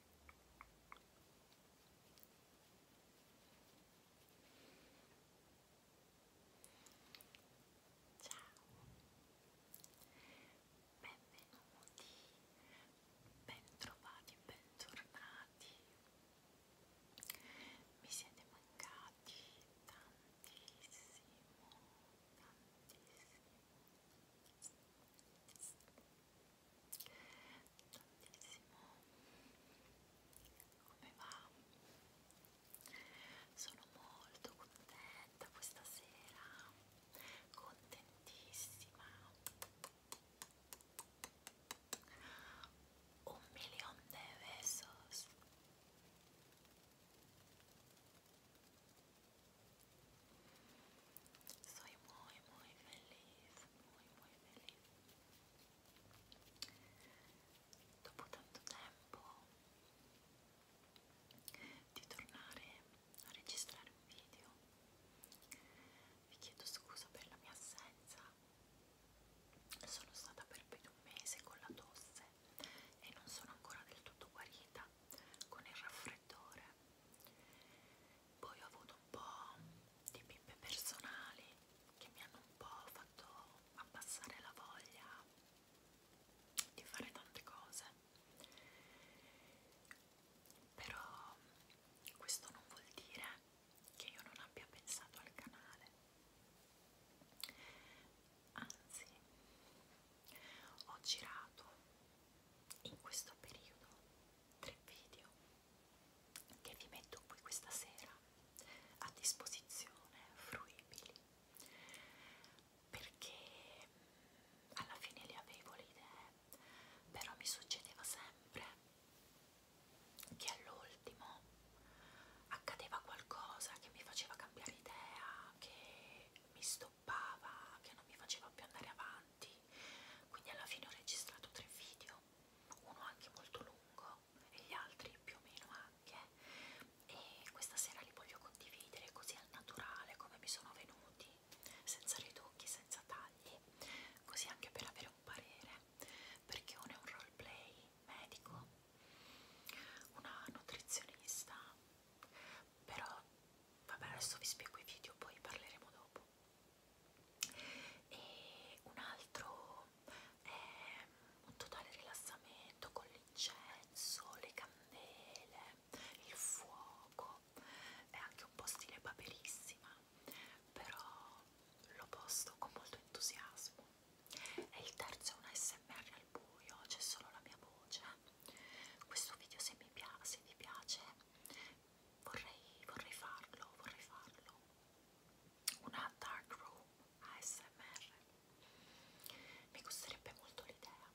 benvenuti, bentrovati, bentornati. Mi siete mancati tantissimo, tantissimo tantissimo come va? sono molto contenta questa sera contentissima un milione de besos Soy muy, muy feliz, muy, muy feliz. Dopo tanto tempo di tornare a registrare un video, vi chiedo scusa per la mia assenza. Sono stata per più di un mese con la tosse e non sono ancora del tutto guarita con il raffreddore poi ho avuto un po' di pippe personali che mi hanno un po' fatto abbassare la voglia di fare tante cose. Però questo non vuol dire che io non abbia pensato al canale. Anzi, ho girato in questo periodo tre video che vi metto qui questa sera a disposizione, fruibili, perché mm, alla fine le avevo le idee, però mi succedeva sempre che all'ultimo accadeva qualcosa che mi faceva cambiare idea, che mi sto stoppava, che non mi faceva più andare avanti, quindi alla fine ho registrato tre video, uno anche molto lungo e gli altri più o meno anche e questa sera li voglio condividere così al naturale come mi sono venuti, senza ritocchi, senza tagli, così anche per avere un parere, perché uno è un roleplay medico, una nutrizionista, però vabbè adesso vi spiego i video, poi parleremo dopo tempo e un altro è un totale rilassamento con l'incenso, le candele, il fuoco è anche un po' stile paperissima però lo posto con molto entusiasmo e il terzo è un smr al buio, c'è solo la mia voce questo video se, mi pia se vi piace vorrei, vorrei farlo, vorrei farlo. Una dark room ASMR. Mi costerebbe molto l'idea.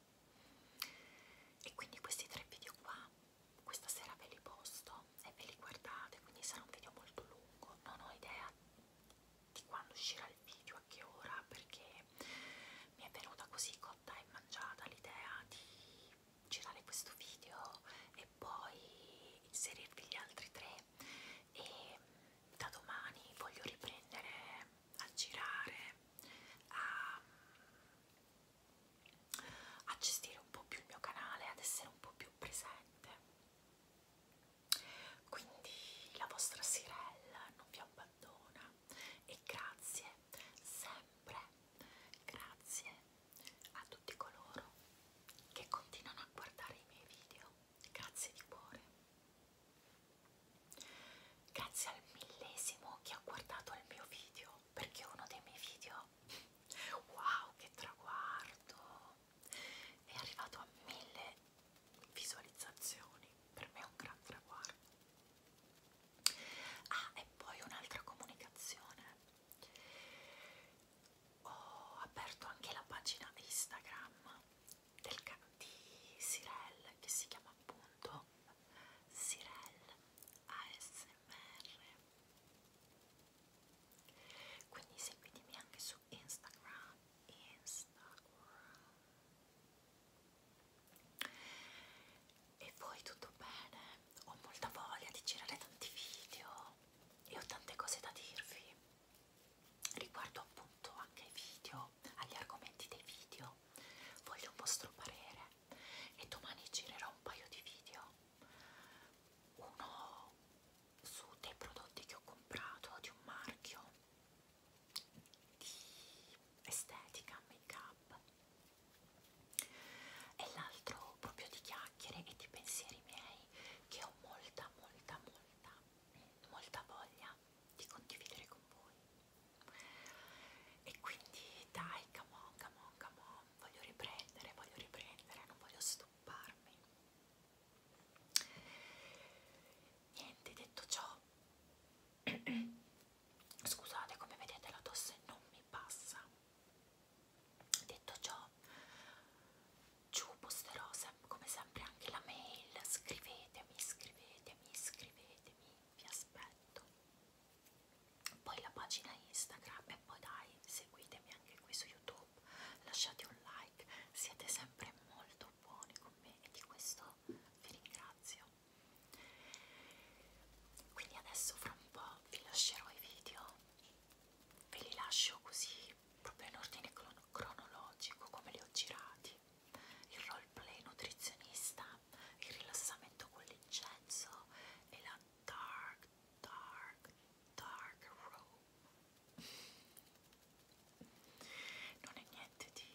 E quindi questi tre video qua, questa sera ve li posto e ve li guardate, quindi sarà un video molto lungo. Non ho idea di quando uscirà il video, a che ora, perché mi è venuta così cotta e mangiata l'idea di girare questo video e poi inserirvi gli altri tre e mm, da domani voglio riprendere a girare a, mm, a gestire un po' più il mio canale ad essere un po' più presente quindi la vostra Sirella non vi abbandona e grazie sempre Grazie a tutti coloro che continuano a guardare i miei video. Grazie di cuore. Grazie al millesimo che ha guardato il mio video, perché uno dei miei video, wow che traguardo, è arrivato a mille visualizzazioni, per me è un gran traguardo. Ah, e poi un'altra comunicazione. Ho aperto anche la pagina Instagram del di Sirel che si chiama appunto Sirel ASMR. Quindi seguitemi anche su Instagram. Instagram. E voi tutto bene? Ho molta voglia di girare tanti video e ho tante cose da dirvi riguardo appunto anche ai video, agli argomenti dei video. Voglio un vostro parere e domani girerò un paio di video. Uno su dei prodotti che ho comprato di un marchio di estetica, make up e l'altro proprio di chiacchiere e di pensieri miei che ho molta molta molta molta voglia di condividere con voi e quindi dai come on come on come on voglio riprendere voglio riprendere non voglio stopparmi niente detto ciò scusate come vedete la tosse non mi passa detto ciò giù posterò sempre, come sempre anche la mail scrivetemi scrivetemi scrivetemi vi aspetto poi la pagina instagram e poi dai seguitemi anche qui su youtube lasciate un like siete sempre molto buoni con me e di questo vi ringrazio quindi adesso fra un po' vi lascerò i video ve li lascio così proprio in ordine cronologico come li ho girati il roleplay nutrizionista il rilassamento con l'incenso e la dark dark dark room non è niente di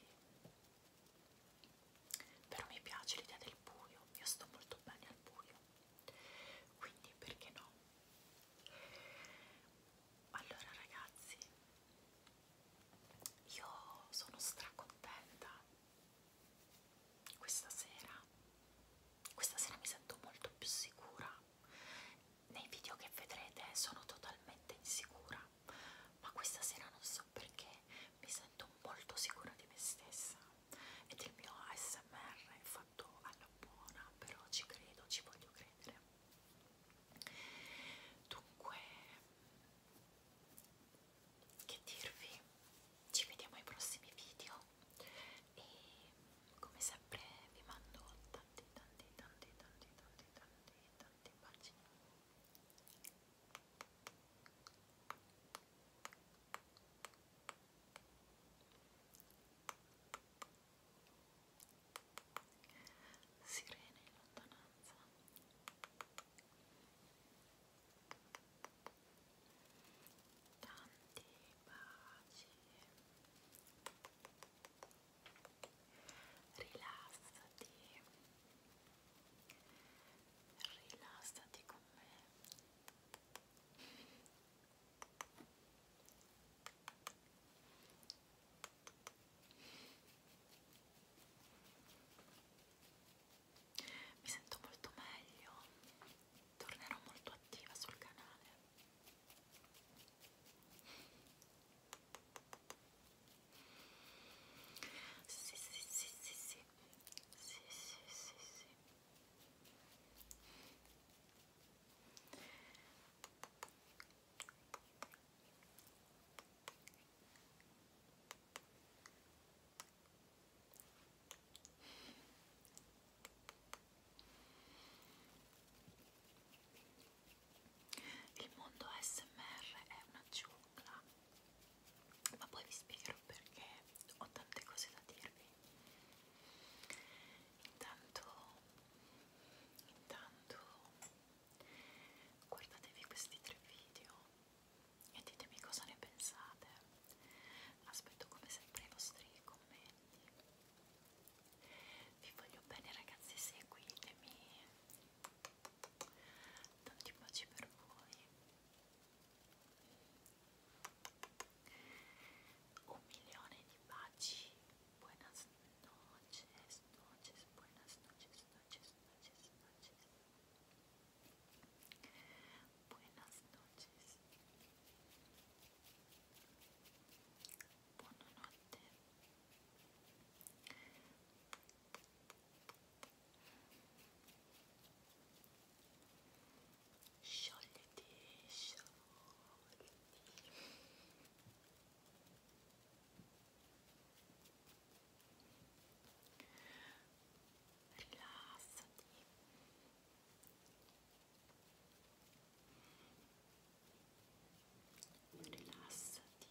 però mi piace l'idea del buio, io sto molto bene al buio, quindi perché no? Allora ragazzi, io sono stracontenta questa sera, questa sera mi sento molto più sicura, nei video che vedrete sono totalmente insicura, ma questa sera non so perché mi sento molto sicura di me stessa ed il mio ASMR è fatto alla buona, però ci credo, ci voglio credere. Dunque, che dirvi? Ci vediamo ai prossimi video e come sempre vi mando tanti tanti tanti tanti tanti tanti tanti baci. Sirene in lontananza. Tanti baci. Rilassati. Rilassati con me. Mi sento molto meglio, tornerò molto attiva sul canale. Sì, sì, sì, sì, sì, sì, sì, sì, sì. Il mondo ASMR è una giungla ma poi vi spiegherò perché ho tante cose da dirvi intanto intanto guardatevi questi tre video e ditemi cosa ne pensate aspetto come sempre i vostri commenti vi voglio bene ragazzi seguitemi tanti baci per voi Un milione di baci. Buenas Sciogliti, sciogliti. Rilassati. Rilassati.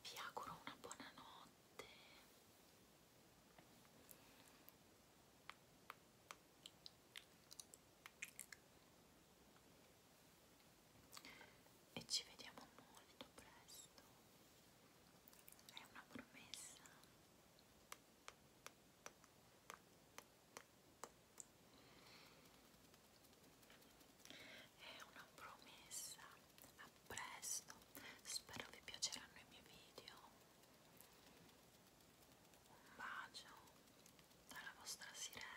Vi auguro una buona notte e ci vediamo molto presto è una promessa è una promessa a presto spero vi piaceranno i miei video un bacio dalla vostra sirena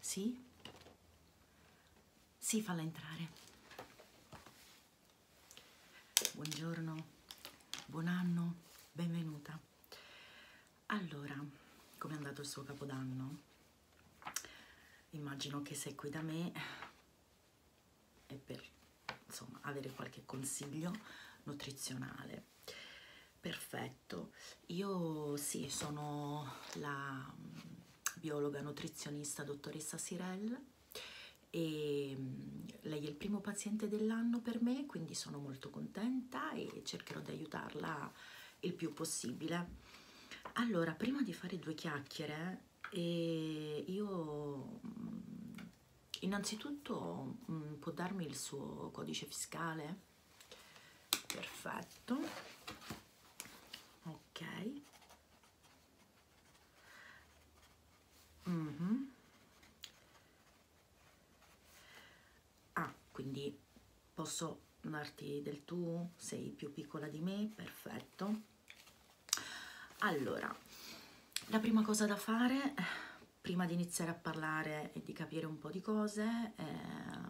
Sì? Sì, falla entrare. Buongiorno, buon anno, benvenuta. Allora, come è andato il suo capodanno? Immagino che sei qui da me e per insomma avere qualche consiglio nutrizionale perfetto io sì sono la mm, biologa nutrizionista dottoressa Sirel e mm, lei è il primo paziente dell'anno per me quindi sono molto contenta e cercherò di aiutarla il più possibile allora prima di fare due chiacchiere eh, io mm, innanzitutto mh, mm, può darmi il suo codice fiscale perfetto ok mm -hmm. ah quindi posso darti del tu sei più piccola di me perfetto allora, la prima cosa da fare, prima di iniziare a parlare e di capire un po' di cose, eh,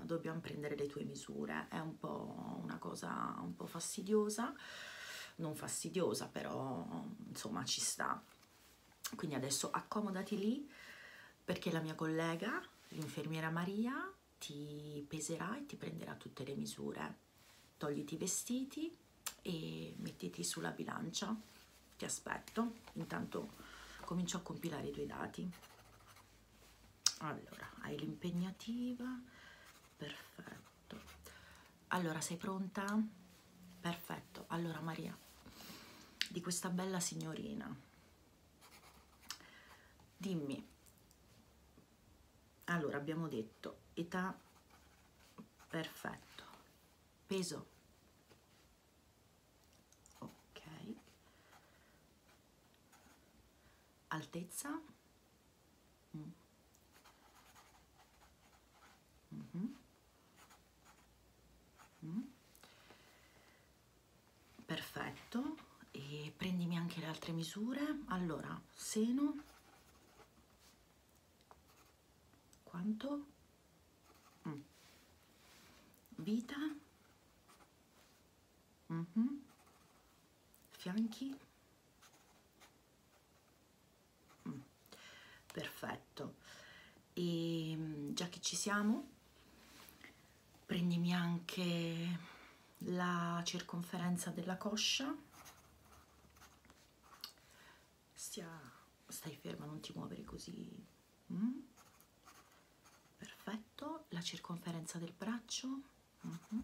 dobbiamo prendere le tue misure. È un po' una cosa un po' fastidiosa, non fastidiosa, però insomma ci sta. Quindi adesso accomodati lì perché la mia collega, l'infermiera Maria, ti peserà e ti prenderà tutte le misure. Togliti i vestiti, e mettiti sulla bilancia, ti aspetto, intanto comincio a compilare i tuoi dati. Allora, hai l'impegnativa, perfetto. Allora, sei pronta? Perfetto. Allora, Maria, di questa bella signorina, dimmi, allora abbiamo detto età perfetto peso ok altezza mm. Mm -hmm. mm. perfetto e prendimi anche le altre misure allora seno quanto? Mm. Vita? Mm -hmm. Fianchi? Mm. Perfetto. E ehm, già che ci siamo, prendimi anche la circonferenza della coscia stia stai ferma non ti muovere così mm? perfetto la circonferenza del braccio mm -hmm.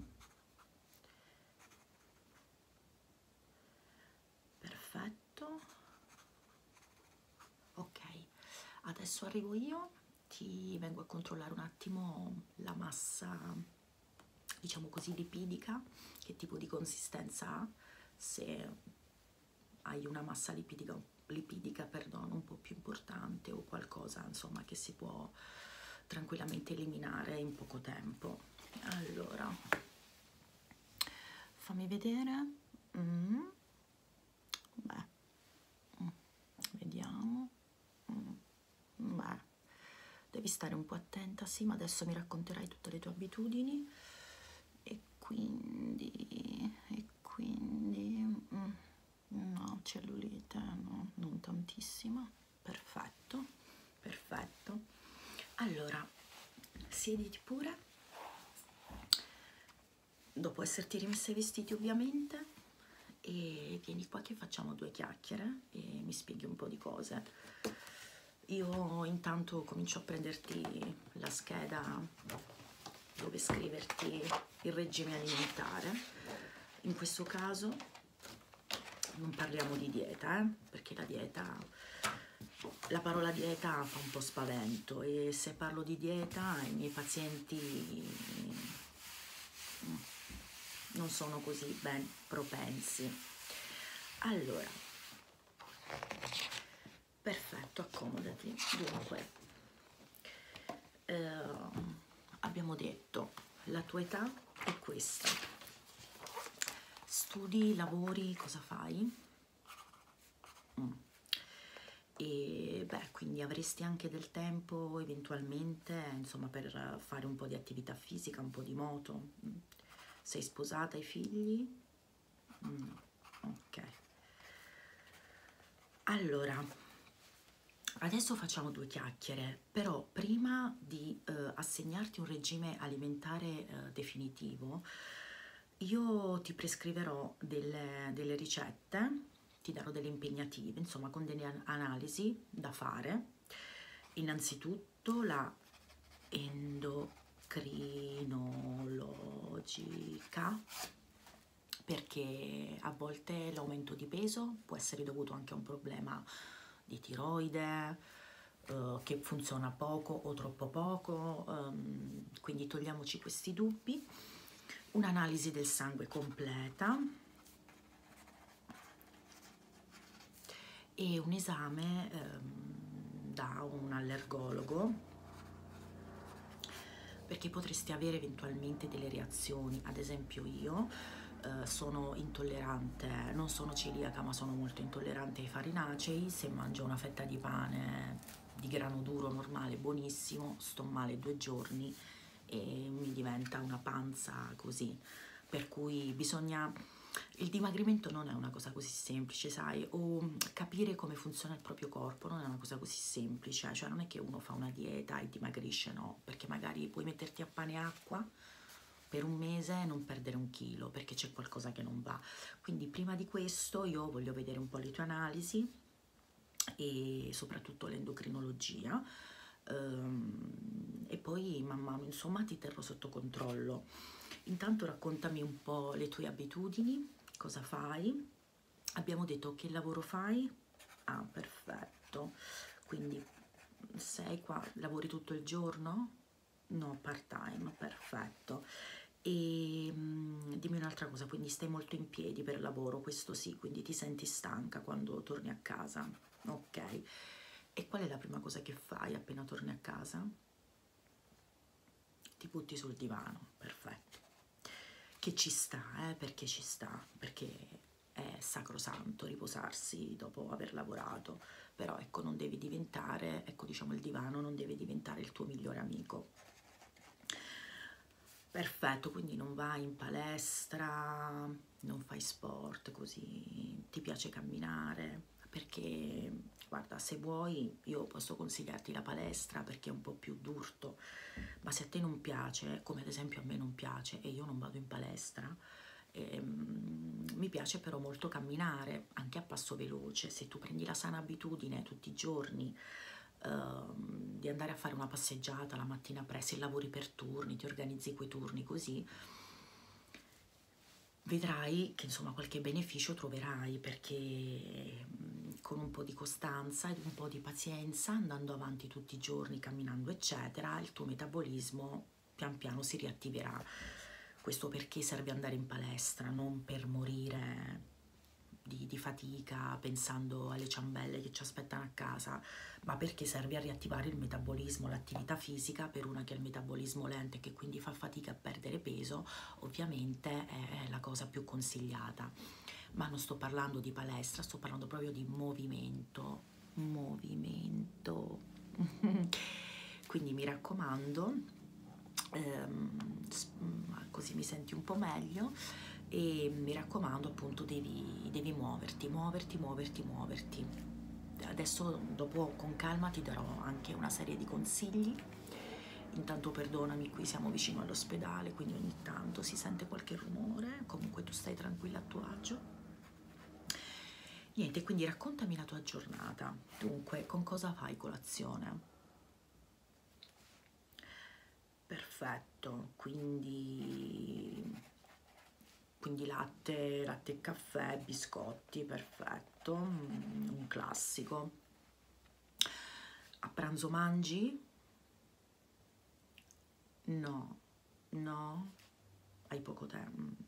perfetto ok adesso arrivo io ti vengo a controllare un attimo la massa diciamo così lipidica che tipo di consistenza ha se hai una massa lipidica, lipidica perdono, un po' più importante o qualcosa insomma che si può tranquillamente eliminare in poco tempo. Allora, fammi vedere. Mm. Beh, mm. vediamo. Mm. Beh, devi stare un po' attenta, sì, ma adesso mi racconterai tutte le tue abitudini e quindi e quindi mm, no cellulite no non tantissima perfetto perfetto allora siediti pure dopo esserti rimessa i vestiti ovviamente e vieni qua che facciamo due chiacchiere e mi spieghi un po' di cose io intanto comincio a prenderti la scheda dove scriverti il regime alimentare in questo caso non parliamo di dieta eh? perché la dieta la parola dieta fa un po' spavento e se parlo di dieta i miei pazienti non sono così ben propensi allora perfetto accomodati dunque eh, abbiamo detto la tua età è questa studi lavori cosa fai mm. e beh quindi avresti anche del tempo eventualmente insomma per fare un po di attività fisica un po di moto mm. sei sposata hai figli mm, ok allora adesso facciamo due chiacchiere però prima di eh, assegnarti un regime alimentare eh, definitivo io ti prescriverò delle, delle ricette ti darò delle impegnative insomma con delle analisi da fare innanzitutto sotto la endocrinologica perché a volte l'aumento di peso può essere dovuto anche a un problema di tiroide eh, che funziona poco o troppo poco, ehm, quindi togliamoci questi dubbi. Un'analisi del sangue completa e un esame ehm, da un allergologo perché potresti avere eventualmente delle reazioni, ad esempio io eh, sono intollerante, non sono celiaca ma sono molto intollerante ai farinacei, se mangio una fetta di pane di grano duro normale buonissimo, sto male due giorni e mi diventa una panza così, per cui bisogna il dimagrimento non è una cosa così semplice, sai, o mm, capire come funziona il proprio corpo non è una cosa così semplice, cioè non è che uno fa una dieta e dimagrisce, no, perché magari puoi metterti a pane e acqua per un mese e non perdere un chilo, perché c'è qualcosa che non va. Quindi prima di questo io voglio vedere un po' le tue analisi e soprattutto l'endocrinologia ehm, e poi man mano insomma ti terrò sotto controllo Intanto raccontami un po' le tue abitudini, cosa fai. Abbiamo detto che lavoro fai? Ah, perfetto. Quindi sei qua, lavori tutto il giorno? No, part time, perfetto. E ehm, mh, dimmi un'altra cosa, quindi stai molto in piedi per lavoro, questo sì, quindi ti senti stanca quando torni a casa? Ok. E qual è la prima cosa che fai appena torni a casa? ti butti sul divano, perfetto, che ci sta, eh, perché ci sta, perché è sacrosanto riposarsi dopo aver lavorato, però ecco non devi diventare, ecco diciamo il divano non deve diventare il tuo migliore amico. Perfetto, quindi non vai in palestra, non fai sport così, ti piace camminare, perché guarda se vuoi io posso consigliarti la palestra perché è un po' più d'urto ma se a te non piace come ad esempio a me non piace e io non vado in palestra ehm, mi piace però molto camminare anche a passo veloce se tu prendi la sana abitudine tutti i giorni ehm, di andare a fare una passeggiata la mattina presto e lavori per turni ti organizzi quei turni così vedrai che insomma qualche beneficio troverai perché mm, con un po' di costanza e un po' di pazienza andando avanti tutti i giorni camminando eccetera il tuo metabolismo pian piano si riattiverà questo perché serve andare in palestra non per morire di, di fatica pensando alle ciambelle che ci aspettano a casa ma perché serve a riattivare il metabolismo l'attività fisica per una che ha il metabolismo lento e che quindi fa fatica a perdere peso ovviamente è la cosa più consigliata. Ma non sto parlando di palestra, sto parlando proprio di movimento, movimento. Quindi mi raccomando, ehm, mm, così mi senti un po' meglio e mi raccomando appunto devi, devi muoverti, muoverti, muoverti, muoverti. Adesso dopo con calma ti darò anche una serie di consigli Intanto perdonami, qui siamo vicino all'ospedale, quindi ogni tanto si sente qualche rumore, comunque tu stai tranquilla a tuo agio. Niente, quindi raccontami la tua giornata. Dunque, con cosa fai colazione? Perfetto, quindi quindi latte, latte e caffè, biscotti, perfetto letto, mm, un classico. A pranzo mangi? No, no, hai poco tempo.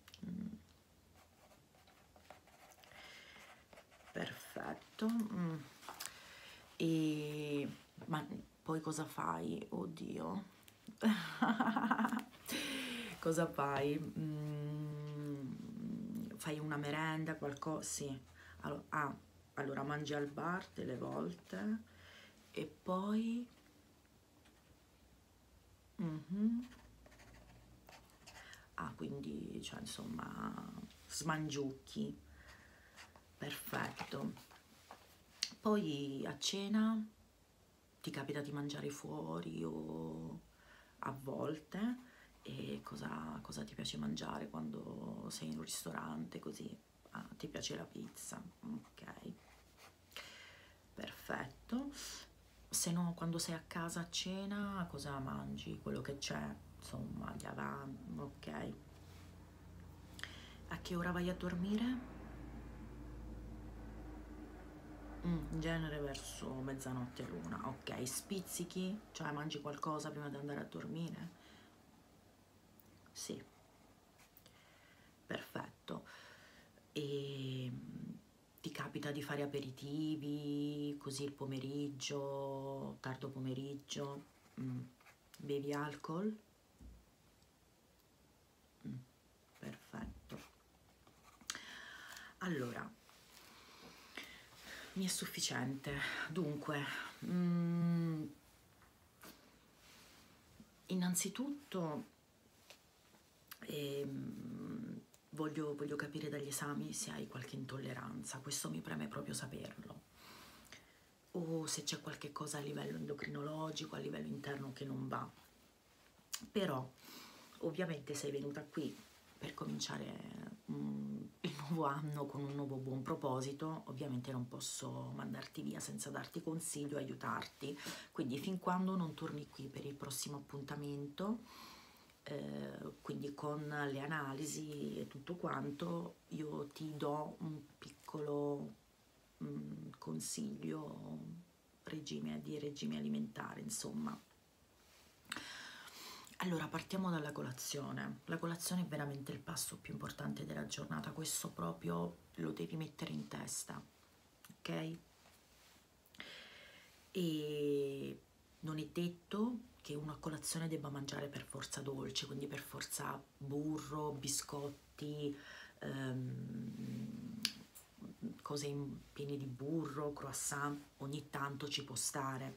Perfetto. Mm. E ma poi cosa fai? Oddio. cosa fai? Mm, fai una merenda, qualcosa, sì. Allora, ah, allora mangi al bar delle volte e poi... Mm -hmm. Ah, quindi, cioè, insomma, smangiucchi. Perfetto. Poi a cena ti capita di mangiare fuori o a volte e cosa, cosa ti piace mangiare quando sei in un ristorante, così ah, ti piace la pizza, ok, perfetto. Se no, quando sei a casa a cena, cosa mangi? Quello che c'è, insomma, gli avanti, ok. A che ora vai a dormire? in mm, genere verso mezzanotte luna ok spizzichi cioè mangi qualcosa prima di andare a dormire sì perfetto e ehm, ti capita di fare aperitivi così il pomeriggio tardo pomeriggio mm. bevi alcol mm. perfetto allora mi è sufficiente dunque mm, innanzitutto eh, voglio, voglio capire dagli esami se hai qualche intolleranza questo mi preme proprio saperlo o se c'è qualche cosa a livello endocrinologico, a livello interno che non va. Però ovviamente sei venuta qui per cominciare um, il nuovo anno con un nuovo buon proposito, ovviamente non posso mandarti via senza darti consiglio, aiutarti, quindi fin quando non torni qui per il prossimo appuntamento, eh, quindi con le analisi e tutto quanto, io ti do un piccolo um, consiglio regime, di regime alimentare, insomma. Allora, partiamo dalla colazione. La colazione è veramente il passo più importante della giornata, questo proprio lo devi mettere in testa, ok? E non è detto che uno a colazione debba mangiare per forza dolce, quindi per forza burro, biscotti, ehm, cose in, piene di burro, croissant, vita ogni tanto ci può stare,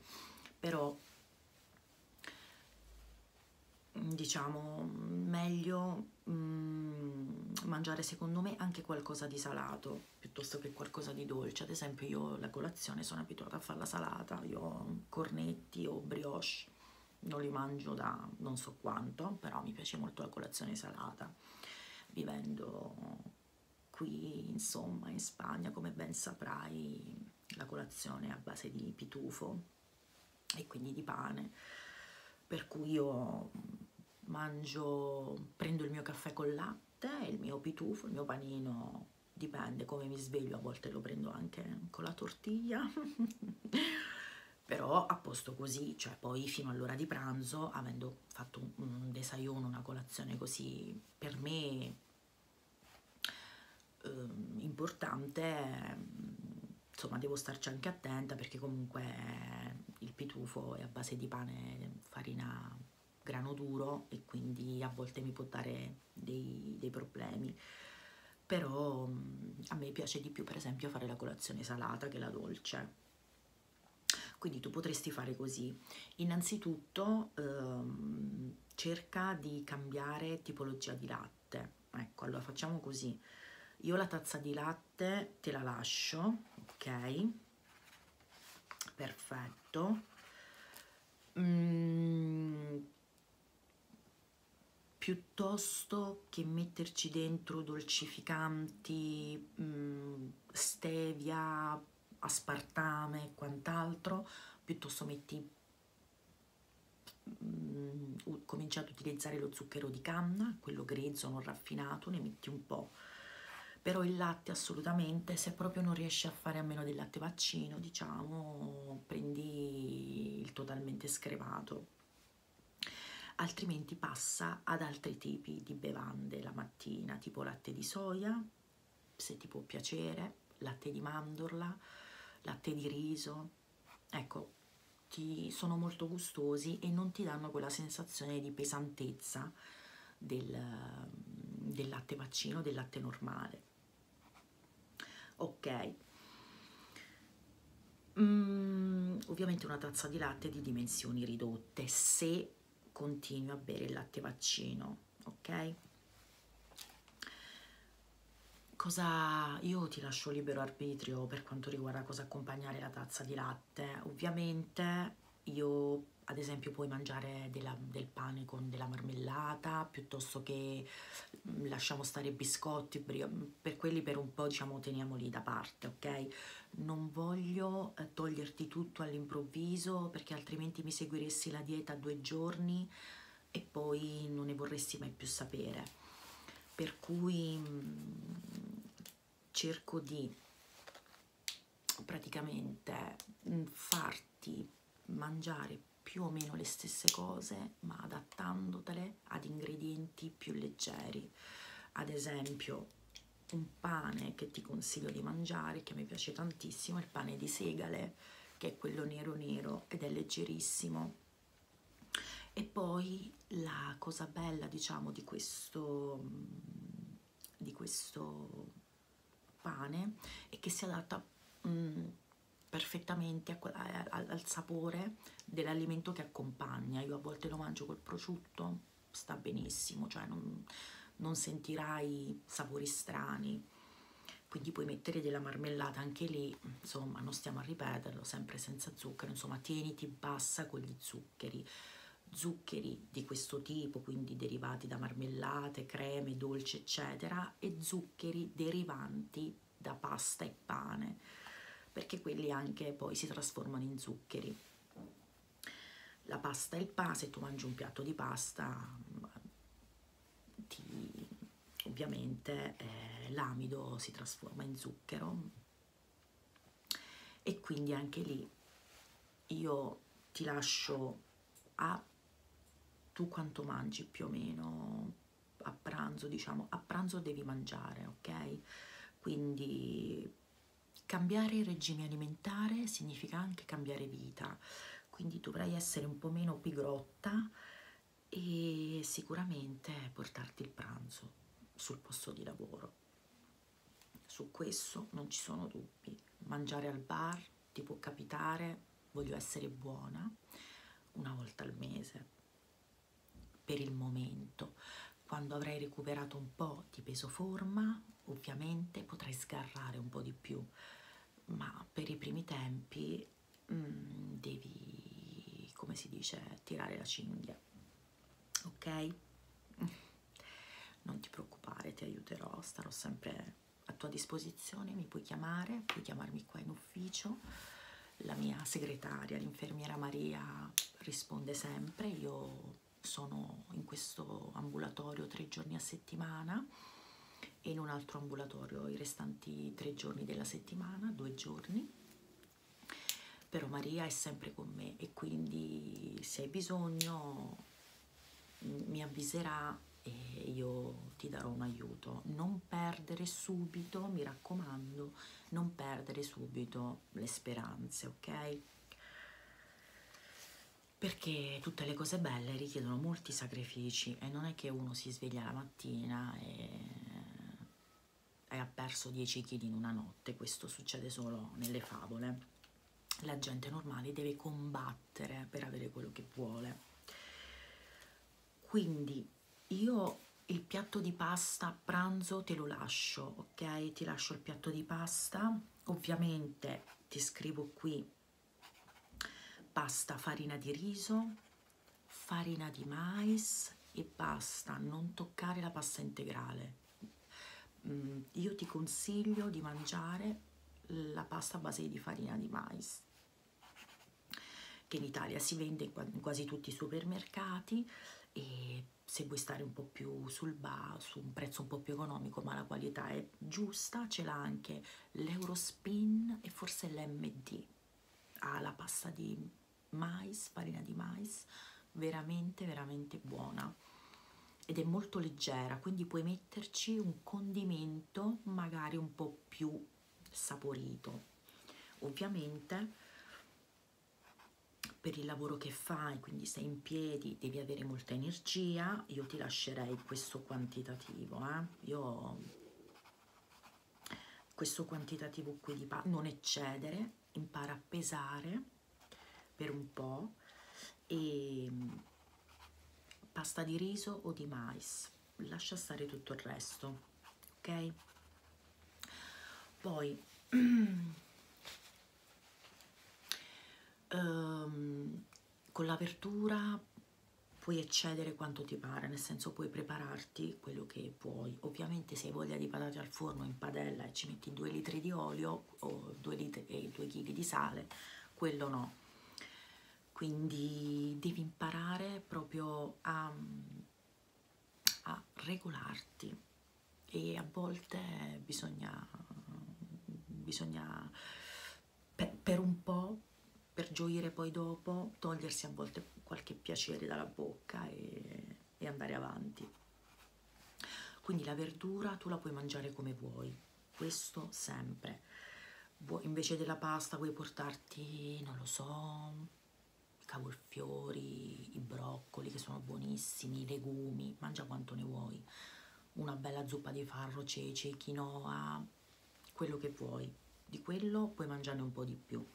però mm, diciamo meglio mm, mangiare secondo me anche qualcosa di salato piuttosto che qualcosa di dolce ad esempio io la colazione sono abituata a fare la salata io cornetti o brioche non li mangio da non so quanto però mi piace molto la colazione salata vivendo Qui, insomma, in Spagna, come ben saprai, la colazione è a base di pitufo e quindi di pane, per cui io mangio, prendo il mio caffè con latte, il mio pitufo, il mio panino, dipende come mi sveglio, a volte lo prendo anche con la tortiglia. però a posto così, cioè poi fino all'ora di pranzo, avendo fatto un, un desayuno, una colazione così per me eh, importante, insomma devo starci anche attenta perché comunque il pitufo è a base di pane, farina, grano duro e quindi a volte mi può dare dei, dei problemi però mm, a me piace di più per esempio fare la colazione salata che la dolce quindi tu potresti fare così. Innanzitutto ehm, cerca di cambiare tipologia di latte. Ecco, allora facciamo così. Io la tazza di latte te la lascio, ok? Perfetto. Mm, piuttosto che metterci dentro dolcificanti, mm, stevia, aspartame e quant'altro, piuttosto metti mm, comincia ad utilizzare lo zucchero di canna, quello grezzo, non raffinato, ne metti un po'. Però il latte assolutamente, se proprio non riesci a fare a meno del latte vaccino, diciamo, prendi il totalmente scremato. Altrimenti passa ad altri tipi di bevande la mattina, tipo latte di soia, se ti può piacere, latte di mandorla, latte di riso, ecco, ti, sono molto gustosi e non ti danno quella sensazione di pesantezza del, del latte vaccino, del latte normale. Ok. Mm, ovviamente una tazza di latte di dimensioni ridotte, se continui a bere il latte vaccino, ok? Cosa io ti lascio libero arbitrio per quanto riguarda cosa accompagnare la tazza di latte. Ovviamente io ad esempio puoi mangiare della, del pane con della marmellata piuttosto che mm, lasciamo stare i biscotti per quelli per un po' diciamo teniamoli da parte ok non voglio eh, toglierti tutto all'improvviso perché altrimenti mi seguiresti la dieta due giorni e poi non ne vorresti mai più sapere. Per cui mm, cerco di praticamente mm, farti mangiare più o meno le stesse cose, ma adattandotele ad ingredienti più leggeri. Ad esempio, un pane che ti consiglio di mangiare, che mi piace tantissimo, è il pane di segale, che è quello nero nero ed è leggerissimo. E poi la cosa bella, diciamo, di questo, mm, di questo pane è che si adatta mh, mm, perfettamente a, a, al sapore dell'alimento che accompagna. Io a volte lo mangio col prosciutto sta benissimo, cioè non, non sentirai sapori strani. Quindi puoi mettere della marmellata anche lì, insomma, non stiamo a ripeterlo, sempre senza zucchero, insomma, tieniti bassa con gli zuccheri. Zuccheri di questo tipo, quindi derivati da marmellate, creme, dolci, eccetera, e zuccheri derivanti da pasta e pane, perché quelli anche poi si trasformano in zuccheri. La pasta è il pane, se tu mangi un piatto di pasta, ti, ovviamente eh, l'amido si trasforma in zucchero e quindi anche lì io ti lascio a tu quanto mangi più o meno a pranzo, diciamo, a pranzo devi mangiare, ok? Quindi Cambiare regime alimentare significa anche cambiare vita, quindi dovrai essere un po' meno pigrotta e sicuramente portarti il pranzo sul posto di lavoro. Su questo non ci sono dubbi. Mangiare al bar ti può capitare, voglio essere buona, una volta al mese, per il momento. Quando avrai recuperato un po' di peso forma, ovviamente potrei sgarrare un po' di più, ma per i primi tempi mm, devi, come si dice, tirare la cinghia, ok? Non ti preoccupare, ti aiuterò, starò sempre a tua disposizione, mi puoi chiamare, puoi chiamarmi qua in ufficio, la mia segretaria, l'infermiera Maria risponde sempre, io sono in questo ambulatorio tre giorni a settimana e in un altro ambulatorio i restanti tre giorni della settimana, due giorni. Però Maria è sempre con me e quindi se hai bisogno mi avviserà e io ti darò un aiuto. Non perdere subito, mi raccomando, non perdere subito le speranze, ok? perché tutte le cose belle richiedono molti sacrifici e non è che uno si sveglia la mattina e, e ha perso 10 kg in una notte, questo succede solo nelle favole. La gente normale deve combattere per avere quello che vuole. Quindi io il piatto di pasta a pranzo te lo lascio, ok? Ti lascio il piatto di pasta, ovviamente ti scrivo qui Basta farina di riso, farina di mais e basta, non toccare la pasta integrale. Mm, io ti consiglio di mangiare la pasta a base di farina di mais che in Italia si vende in quasi tutti i supermercati e se vuoi stare un po' più sul bar, su un prezzo un po' più economico, ma la qualità è parte giusta ce l'ha anche l'Eurospin e forse l'MD. Ha la pasta di mais, farina di mais, veramente veramente buona ed è molto leggera, quindi puoi metterci un condimento magari un po' più saporito. Ovviamente per il lavoro che fai, quindi sei in piedi, quindi devi avere molta energia, io ti lascerei questo quantitativo, eh? io questo quantitativo qui di pa non eccedere, impara a pesare per un po' e mm, pasta di riso o di mais, lascia stare tutto il resto, ok? Poi um, con l'apertura puoi eccedere quanto ti pare, nel senso puoi prepararti quello che puoi. Ovviamente se hai voglia di patate al forno in padella e ci metti 2 litri di olio o 2 litri e 2 kg di sale, quello no. Quindi devi imparare proprio a, a regolarti e a volte bisogna, bisogna per, per un po', per gioire poi dopo, togliersi a volte qualche piacere dalla bocca e, e andare avanti. Quindi la verdura tu la puoi mangiare come vuoi, questo sempre. Vuoi, invece della pasta puoi portarti, non lo so, i cavolfiori, i broccoli che sono buonissimi, i legumi, mangia quanto ne vuoi una bella zuppa di farro, ceci, quinoa, quello che vuoi. Di quello puoi mangiarne un po' di più.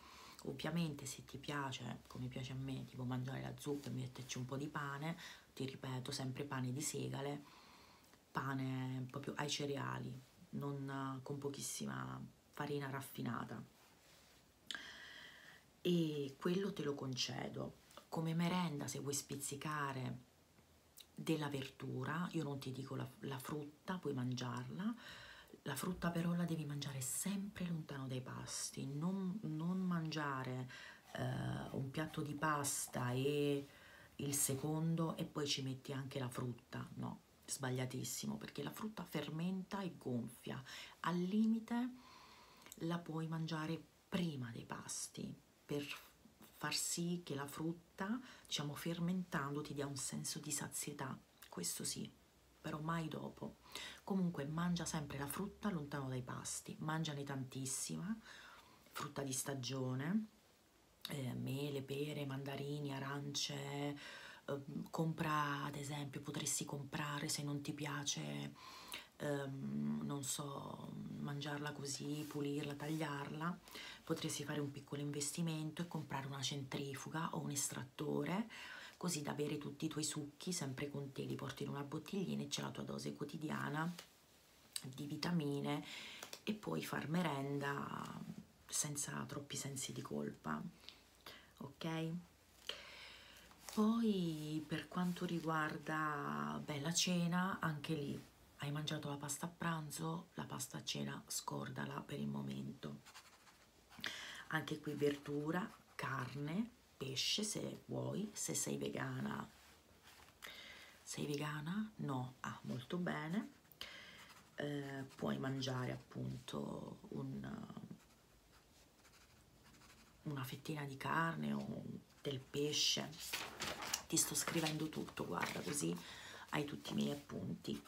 Ovviamente se ti piace, come piace a me, tipo mangiare la zuppa e metterci un po' di pane, ti ripeto, sempre pane di segale, pane proprio ai cereali, non eh, con pochissima farina raffinata. E quello te lo concedo. Come merenda, se vuoi spizzicare della verdura, io non ti dico la, la frutta, puoi mangiarla, la frutta però la devi mangiare sempre lontano dai pasti, non, non mangiare eh, un piatto di pasta e il secondo e poi ci metti anche la frutta, no, sbagliatissimo perché la frutta fermenta e gonfia, al limite la puoi mangiare prima dei pasti, per far sì che la frutta, diciamo fermentando, ti dia un senso di sazietà, questo sì, però mai dopo. Comunque mangia sempre la frutta lontano dai pasti, mangiane tantissima, frutta di stagione, eh, mele, pere, mandarini, arance, eh, compra ad esempio, potresti comprare se non ti piace, ehm, non so, mangiarla così, pulirla, tagliarla, potresti fare un piccolo investimento e comprare una centrifuga o un estrattore così da avere tutti i tuoi succhi sempre con te, li porti in una bottiglina e c'è la tua dose quotidiana di vitamine e puoi far merenda senza troppi sensi di colpa, ok? Poi per quanto riguarda beh, la cena, anche lì hai mangiato la pasta a pranzo, la pasta a cena scordala per il momento. Anche qui verdura, carne, pesce se vuoi, se sei vegana. Sei vegana? No. Ah, molto bene. Eh, puoi mangiare appunto un, una fettina di carne o del pesce ti sto scrivendo tutto guarda così hai tutti i miei appunti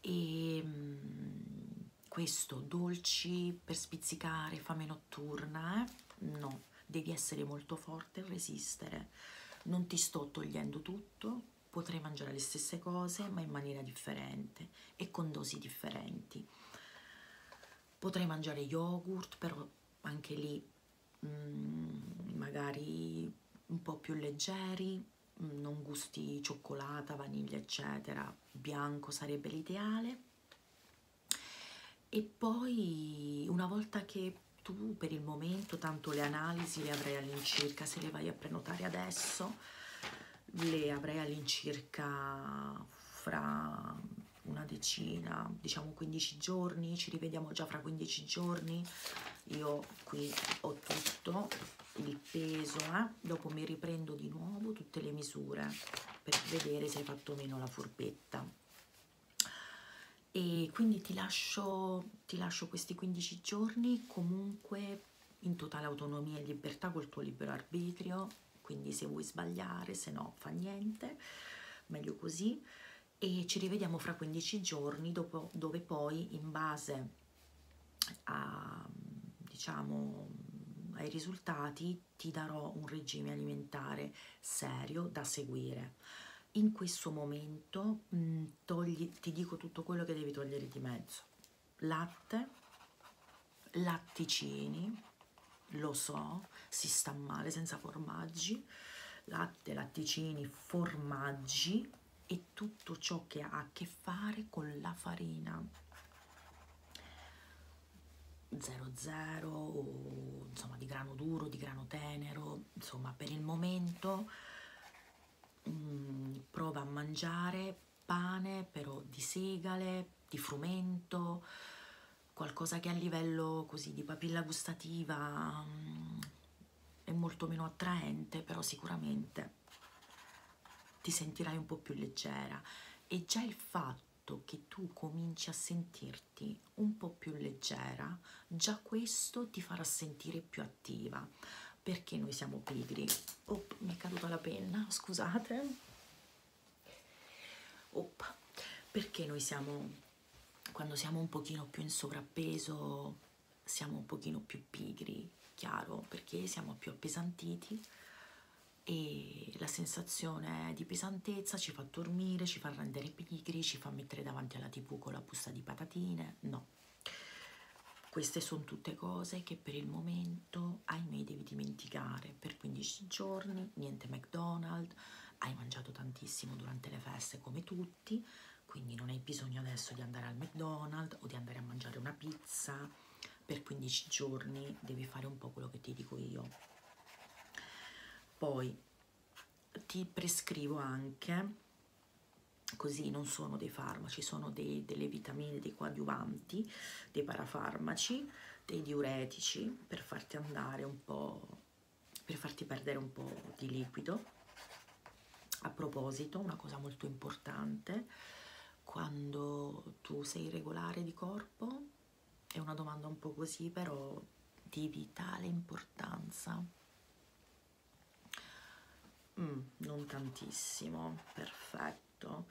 e ehm, questo dolci per spizzicare fame notturna eh? no devi essere molto forte e resistere non ti sto togliendo tutto potrei mangiare le stesse cose ma in maniera differente e con dosi differenti potrei mangiare yogurt però anche lì Mm, magari un po' più leggeri, mm, non gusti cioccolata, vaniglia, eccetera, bianco sarebbe l'ideale. E poi una volta che tu per il momento tanto le analisi le avrai all'incirca, se le vai a prenotare adesso le avrai all'incirca fra una decina, diciamo 15 giorni, ci rivediamo già fra 15 giorni, io qui ho tutto, il peso, eh? dopo mi riprendo di nuovo tutte le misure per vedere se hai fatto o meno la furbetta. E quindi ti lascio, ti lascio questi 15 giorni comunque in totale autonomia e libertà col tuo libero arbitrio, quindi se vuoi sbagliare, se no fa niente, meglio così e ci rivediamo fra 15 giorni dopo, dove poi in base a, diciamo, ai risultati ti darò un regime alimentare serio da seguire. In questo momento mh, mm, togli, ti dico tutto quello che devi togliere di mezzo. Latte, latticini, lo so, si sta male senza formaggi, latte, latticini, formaggi e tutto ciò che ha a che fare con la farina 00 o insomma di grano duro, di grano tenero, insomma per il momento mh, mm, prova a mangiare pane però di segale, di frumento, qualcosa che a livello così di papilla gustativa um, è molto meno attraente, però sicuramente ti sentirai un po' più leggera e già il fatto che tu cominci a sentirti un po' più leggera, già questo ti farà sentire più attiva, perché noi siamo pigri. Oh, mi è caduta la penna, scusate. Oh, perché noi siamo quando siamo un pochino più in sovrappeso siamo un pochino più pigri, chiaro, perché siamo più appesantiti e la sensazione di pesantezza ci fa dormire, ci fa rendere pigri, ci fa mettere davanti alla tv con la busta di patatine, no. Queste sono tutte cose che per il momento, ahimè, devi dimenticare. Per 15 giorni, niente McDonald's, hai mangiato tantissimo durante le feste come tutti, quindi non hai bisogno adesso di andare al McDonald's o di andare a mangiare una pizza per 15 giorni, devi fare un po' quello che ti dico io. Poi ti prescrivo anche, così non sono dei farmaci, sono dei, delle vitamine, dei coadiuvanti, dei parafarmaci, dei diuretici per farti andare un po' per farti perdere un po' di liquido. A proposito, una cosa molto importante, quando tu sei regolare di corpo, è una domanda un po' così, però di vitale importanza. Mm, non tantissimo, perfetto.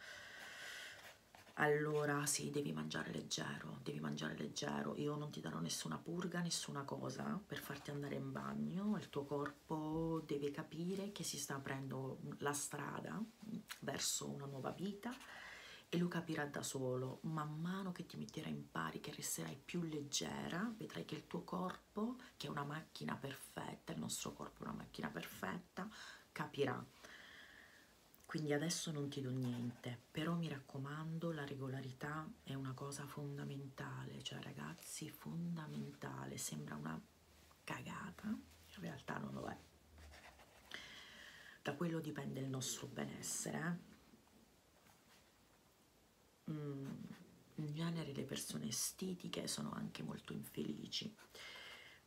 Allora sì, devi mangiare leggero, devi mangiare leggero. Io non ti darò nessuna nessuna purga, nessuna cosa per farti andare in bagno, il tuo corpo deve capire che si sta aprendo la strada verso una nuova vita e lo capirà da solo, man mano che ti metterai in pari, che resterai più leggera, vedrai che il tuo corpo, che è una macchina perfetta, il nostro corpo è una macchina perfetta, capirà. Quindi adesso non ti do niente, bene, però mi raccomando la regolarità è una cosa fondamentale, cioè ragazzi fondamentale, sembra una cagata, in realtà non lo è. Da quello dipende il nostro benessere. Eh? Mm, in genere le persone estetiche sono anche molto infelici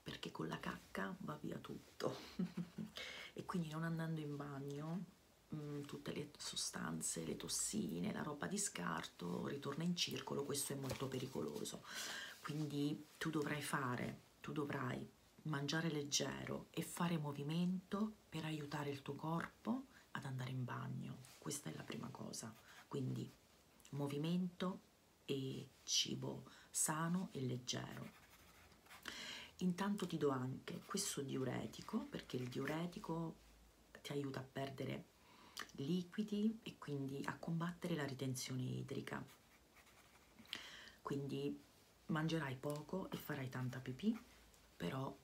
perché con la cacca va via tutto e quindi non andando in bagno mh, mm, tutte le sostanze, le tossine, la roba di scarto ritorna in circolo, questo è molto pericoloso. Quindi tu dovrai fare, tu dovrai mangiare leggero e fare movimento per aiutare il tuo corpo ad andare in bagno. Questa è la prima cosa. Quindi movimento e cibo sano e leggero. Intanto ti do anche questo diuretico, perché il diuretico ti aiuta a perdere liquidi e quindi a combattere la ritenzione idrica. Quindi mangerai poco e farai tanta pipì, però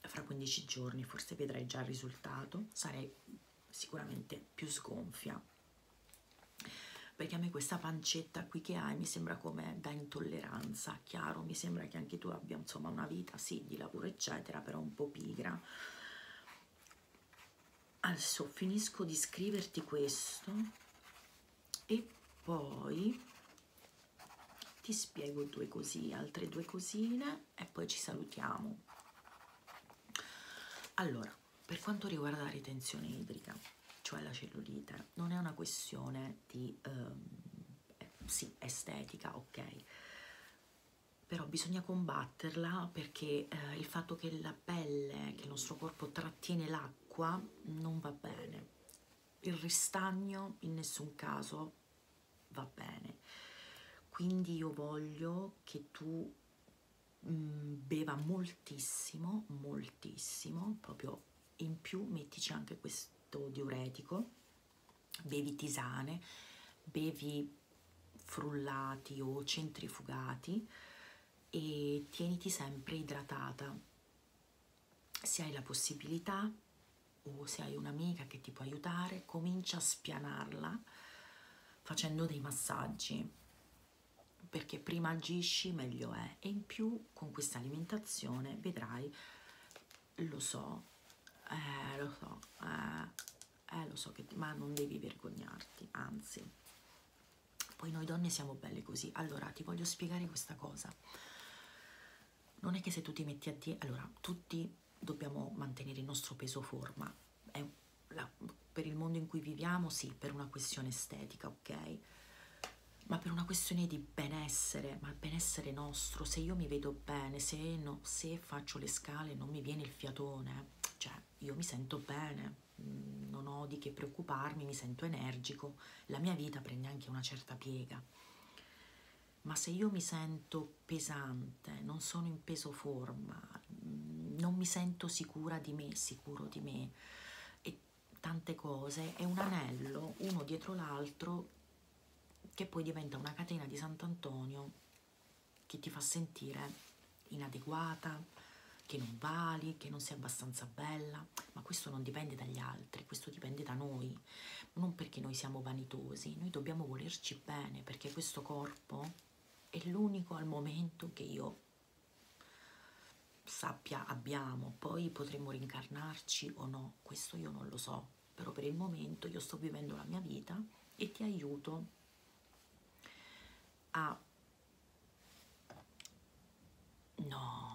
fra 15 giorni forse vedrai già il risultato, sarai sicuramente più sgonfia. Perché a me questa pancia faccetta qui che hai mi sembra come da intolleranza, chiaro, mi sembra che anche tu abbia insomma una vita, sì, di lavoro eccetera, però un po' pigra. Adesso finisco di scriverti questo e poi ti spiego due così, altre due cosine e poi ci salutiamo. Allora, per quanto riguarda la ritenzione idrica, cioè la cellulite, non è una questione di ehm, eh, sì, estetica, ok, però bisogna combatterla perché eh, il fatto che la pelle, che il nostro corpo trattiene l'acqua non va bene. Il ristagno in nessun caso va bene. Quindi io voglio che tu mh, mm, beva moltissimo, moltissimo, proprio in più mettici anche questo diuretico, bevi tisane, bevi frullati o centrifugati e tieniti sempre idratata. Se hai la possibilità o se hai un'amica che ti può aiutare, comincia a spianarla facendo dei massaggi perché prima agisci meglio è e in più tu con questa alimentazione vedrai, lo so, eh, lo so, eh, eh, lo so, che, ma non devi vergognarti, anzi. Poi noi donne siamo belle così. Allora, ti voglio spiegare questa cosa. Non è che se tu ti metti a dieta, allora, tutti dobbiamo mantenere il nostro peso forma. È la, per il mondo in cui viviamo, sì, per una questione estetica, ok? ma per una questione di benessere, ma benessere nostro, se io mi vedo bene, se, no, se faccio le scale non mi viene il fiatone, cioè io mi sento bene, mm, non ho di che preoccuparmi, mi sento energico, la mia vita prende anche una certa piega. Ma se io mi sento pesante, non sono in peso forma, mm, non mi sento sicura di me, sicuro di me, e tante cose è un anello uno dietro l'altro che poi diventa una catena di Sant'Antonio che ti fa sentire inadeguata, che non vali, che non sei abbastanza bella, ma questo non dipende dagli altri, questo dipende da noi, non perché noi siamo vanitosi, noi dobbiamo volerci bene perché questo corpo è l'unico al momento che io sappia abbiamo, poi potremmo rincarnarci o no, no, questo io non lo so, però per il momento io sto vivendo la mia vita e ti aiuto a... No.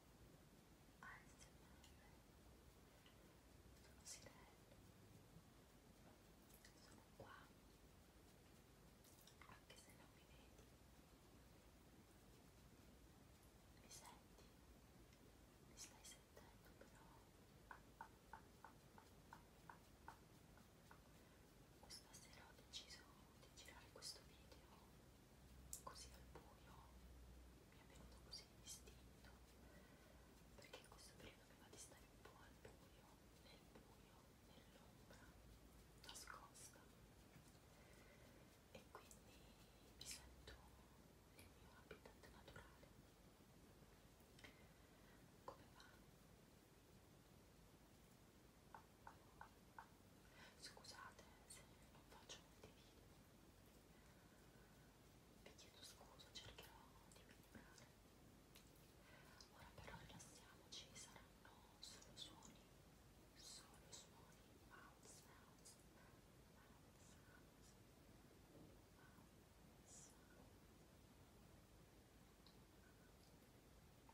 sono sirene sono qua anche se non mi vedi mi senti mi stai sentendo però questa sera ho deciso di girare questo video così al buio mi è venuto così istinto perché in questo periodo mi va di stare un po' al buio nel buio, nell'ombra nascosta e quindi mi sento nel mio habitat naturale come va? Scusate se non faccio molti video. Vi chiedo scusa, cercherò di migliorare. Ora però rilassiamoci, saranno solo suoni, solo suoni, mouth sounds, mouth sounds, mouth sounds.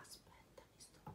aspetta mi sto arrivando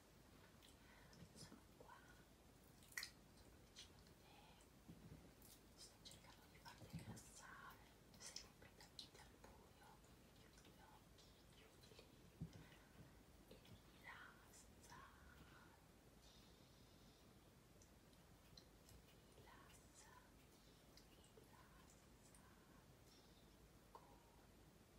sono qua sono vicino a te sto cercando di farti rilassare sei completamente al buio chiudi gli occhi, chiudili e rilassati rilassati, rilassati con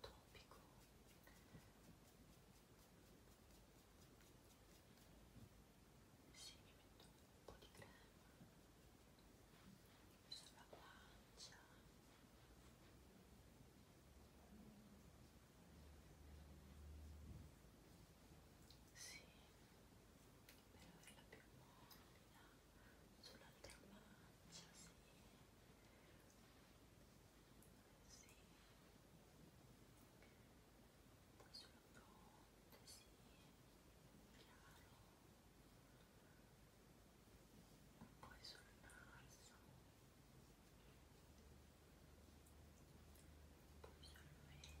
topico sì, mi metto un po' di crema sulla guancia e sì, per averla più morbida sull'altra faccia, sì. Sì. Poi sulla fronte, sì, chiaro. Poi sul naso. Poi sul mento. Poi sulla bocca,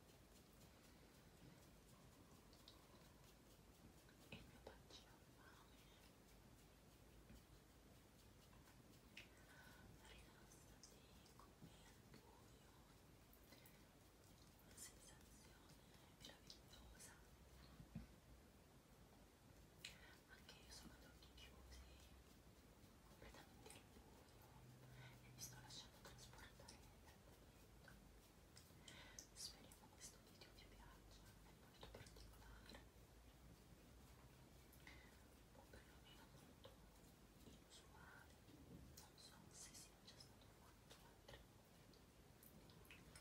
il mio bacino ha fame rilassati come il buio una sensazione meravigliosa anche io sono ad occhi chiusi completamente al buio e mi sto lasciando trasportare dal momento Speriamo questo video vi piaccia, è molto particolare o perlomeno molto inusuale, non so se sia già stato fatto altri. Spero